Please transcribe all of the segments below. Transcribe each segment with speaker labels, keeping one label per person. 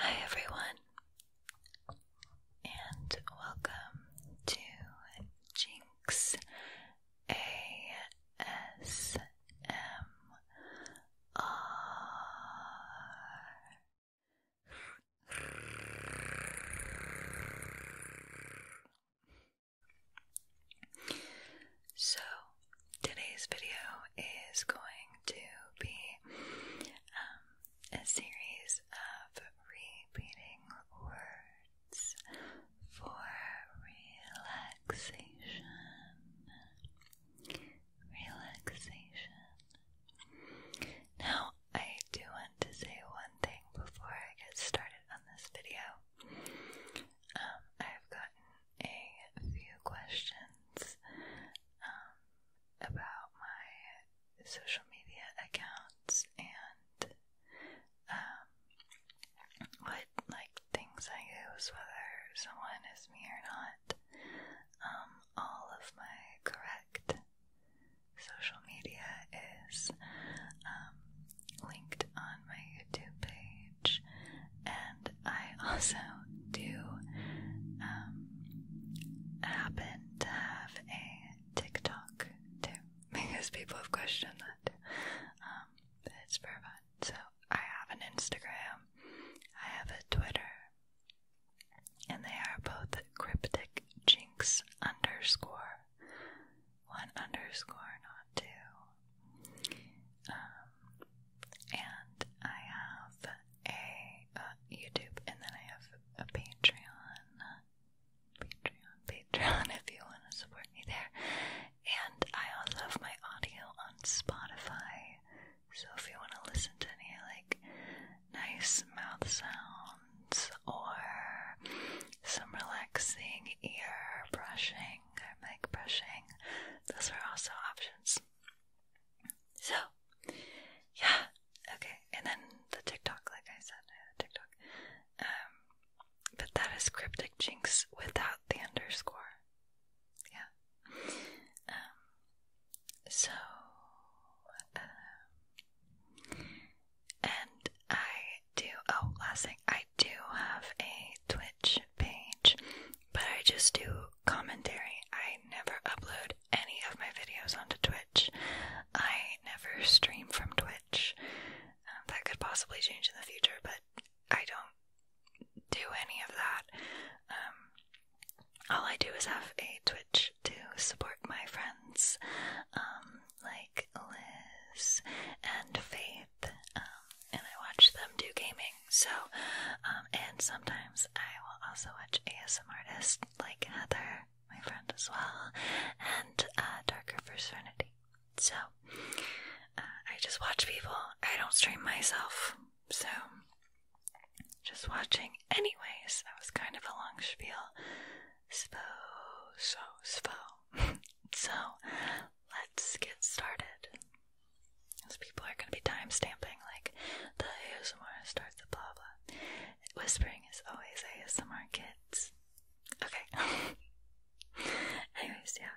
Speaker 1: Hi, everyone, and welcome to Jinx ASMR. So, today's video is going to be um, a series of repeating words for relaxation. Relaxation. Now, I do want to say one thing before I get started on this video. Um, I've gotten a few questions um, about my social media accounts and um, what like things I use, whether someone is me or not. Um, all of my correct social media is um, linked on my YouTube page, and I also do um, happen to have a TikTok too because people have questioned that. Um, it's private, So I have an Instagram, I have a Twitter, and they are both cryptic jinx underscore one underscore, not two. Um, and I have a YouTube, and then I have a Patreon, Patreon, Patreon. If you want to support me there, and I also have my audio on Spotify. So if you want to listen to any like nice mouth sounds or some relaxing ear brushing brushing or mic brushing. Those are also options. So, yeah, okay. And then the TikTok, like I said, TikTok. Um, but that is cryptic jinx without the underscore. Yeah. Um, so, um, and I do. Oh, last thing, I do have a Twitch page, but I just do commentary. I never upload any of my videos onto Twitch. I never stream from Twitch. Um, that could possibly change in the future, but I don't do any of that. Um, all I do is have a Twitch to support my friends, um, like Liz and Faith um, and I watch them do gaming. So, um, and sometimes I will also watch ASM artists like Heather, my friend as well, and uh, Darker for Serenity. So, uh, I just watch people. I don't stream myself, so just watching. Anyways, that was kind of a long spiel. Spo, so, spo. so, let's get started. Because people are going to be time stamping, like, the ASMR starts the blah blah. Whispering is always ASMR kids. Okay. Anyways, yeah.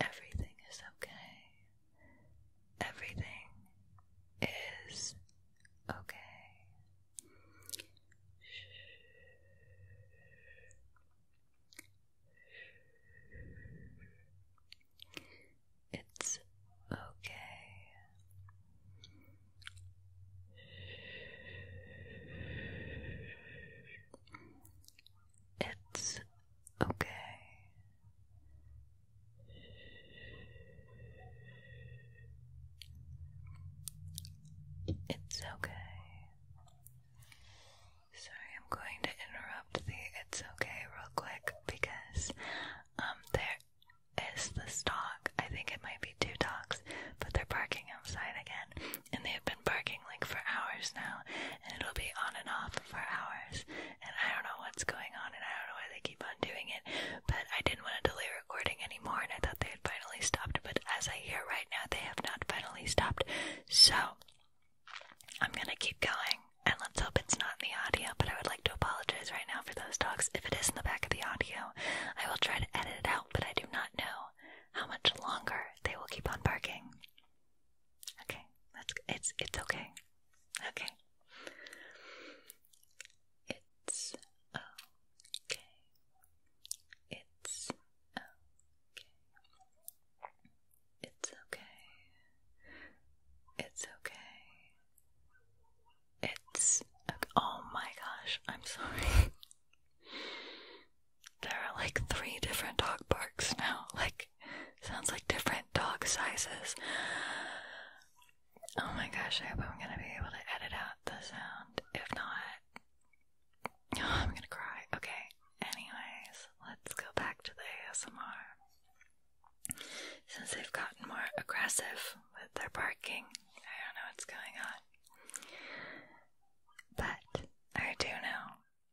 Speaker 1: Everything is okay. Everything is okay. It's okay. It's okay. It's okay. Sorry, I'm going to interrupt the it's okay real quick because um there is the dog. I think it might be two dogs, but they're barking outside again and they have been barking like for hours now, and it'll be on and off for hours, and I don't know what's going on, and I don't know why they keep on doing it, but I didn't want to delay recording anymore, and I thought they had finally stopped, but as I hear right now, they have not finally stopped, so I'm gonna keep going, and let's hope it's not in the audio, but I would like to apologize right now for those dogs. If it is in the back of the audio, I will try to edit it out, but I do not know how much longer they will keep on barking. Okay, that's it's it's okay. Okay. It's okay. It's okay. It's okay. It's okay. It's okay. Oh my gosh, I'm sorry. There are like three different dog barks now. Like, sounds like different dog sizes. Oh my gosh, I hope I'm gonna be able to edit out the sound. If not, I'm gonna cry. Okay, anyways, let's go back to the ASMR. Since they've gotten more aggressive with their barking, I don't know what's going on. But I do know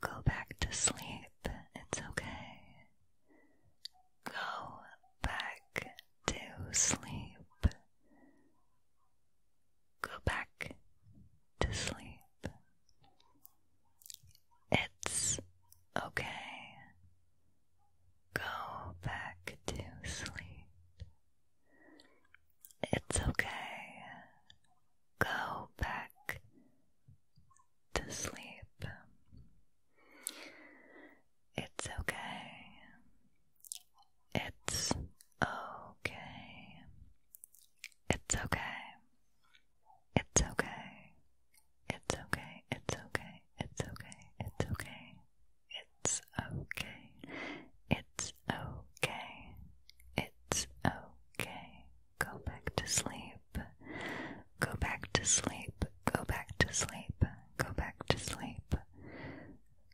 Speaker 1: Go back to sleep. It's okay. Go back to sleep. Go back to sleep. It's okay. Go back to sleep. It's okay go back to sleep. It's okay. It's okay. It's okay. It's okay. It's okay. It's okay. It's okay. It's okay. It's okay. It's okay. It's okay. Go back to sleep. Go back to sleep. Go back to sleep. Go back to sleep.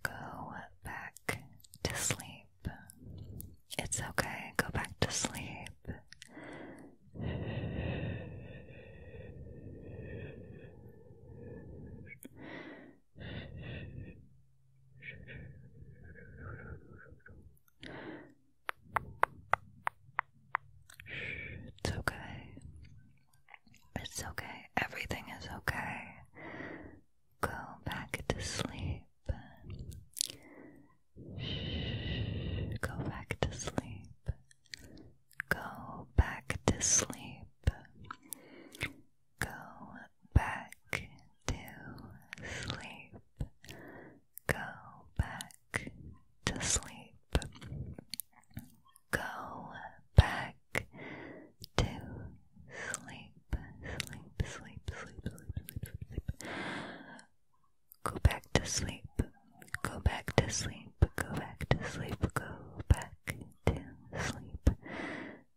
Speaker 1: Go back to sleep. It's okay. Go back to sleep. It's okay. It's okay. Everything is okay. Go back to sleep. Go back to sleep. Go back to sleep. Go back to sleep. Go back to sleep. Go back to sleep. Sleep, sleep, sleep, sleep, sleep, sleep, sleep. Go back to sleep. Go back to sleep. Go back to sleep. Go back to sleep.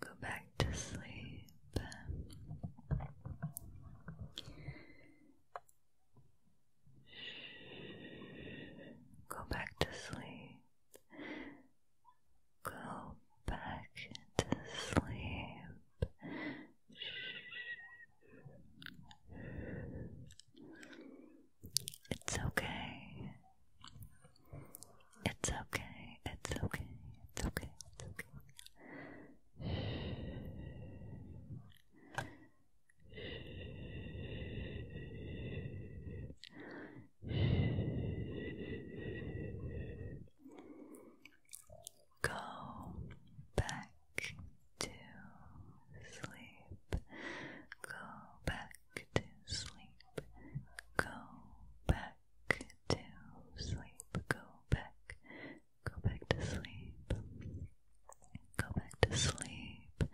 Speaker 1: Go back to sleep. Go back to sleep. Go back to sleep. It's okay. It's okay, it's okay, it's okay, it's okay. Go back to sleep. Go back to sleep. Go back to sleep. Go back. Go back to sleep. Go back to sleep.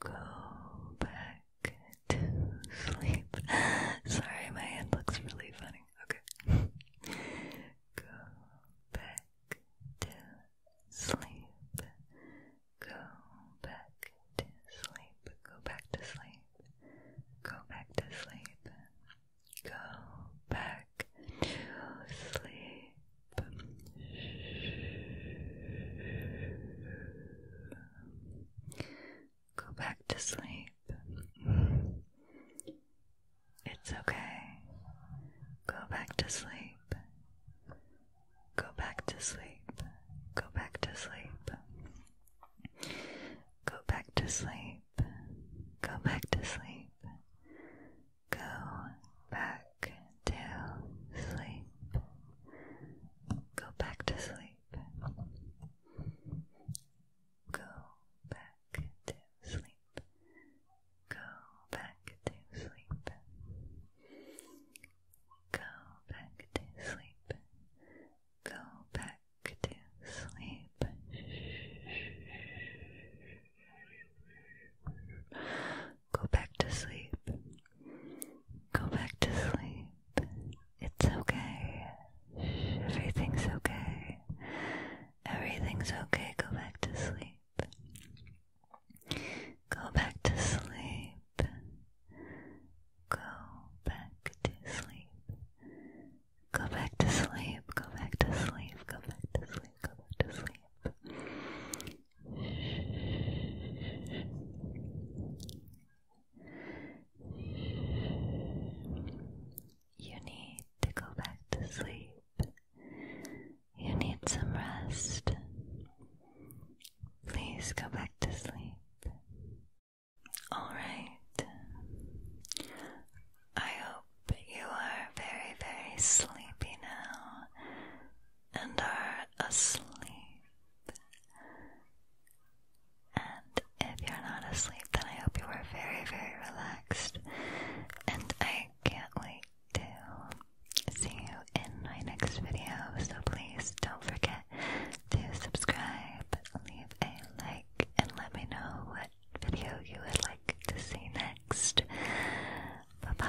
Speaker 1: Go back to sleep. Sorry, my hand looks really funny. Okay. Go back to sleep. Go back to sleep. Go back to sleep. Go back to sleep. Go back to sleep. Go back to sleep. It's okay. Go back to sleep. Go back to sleep. Go back to sleep. Go back to sleep. Go back to sleep. Go back to sleep. Go back to sleep. Go back to sleep. Go back to sleep. Go back to sleep. Go back to sleep. Go back to sleep. Go back to sleep. It's okay. Everything's okay. Everything's okay. Go back to sleep. Go back to sleep. Go back to sleep. Go back to sleep, go back to sleep, go back to sleep, go back to sleep. You need to go back to sleep. You need some rest. Please go back to sleep. Alright. I hope you are very, very sleepy now and are asleep. And if you're not asleep, then I hope you are very, very relaxed. And I can't wait to see you in my next video. So please don't forget to subscribe, leave a like and let me know what video you would like to see next. Bye bye.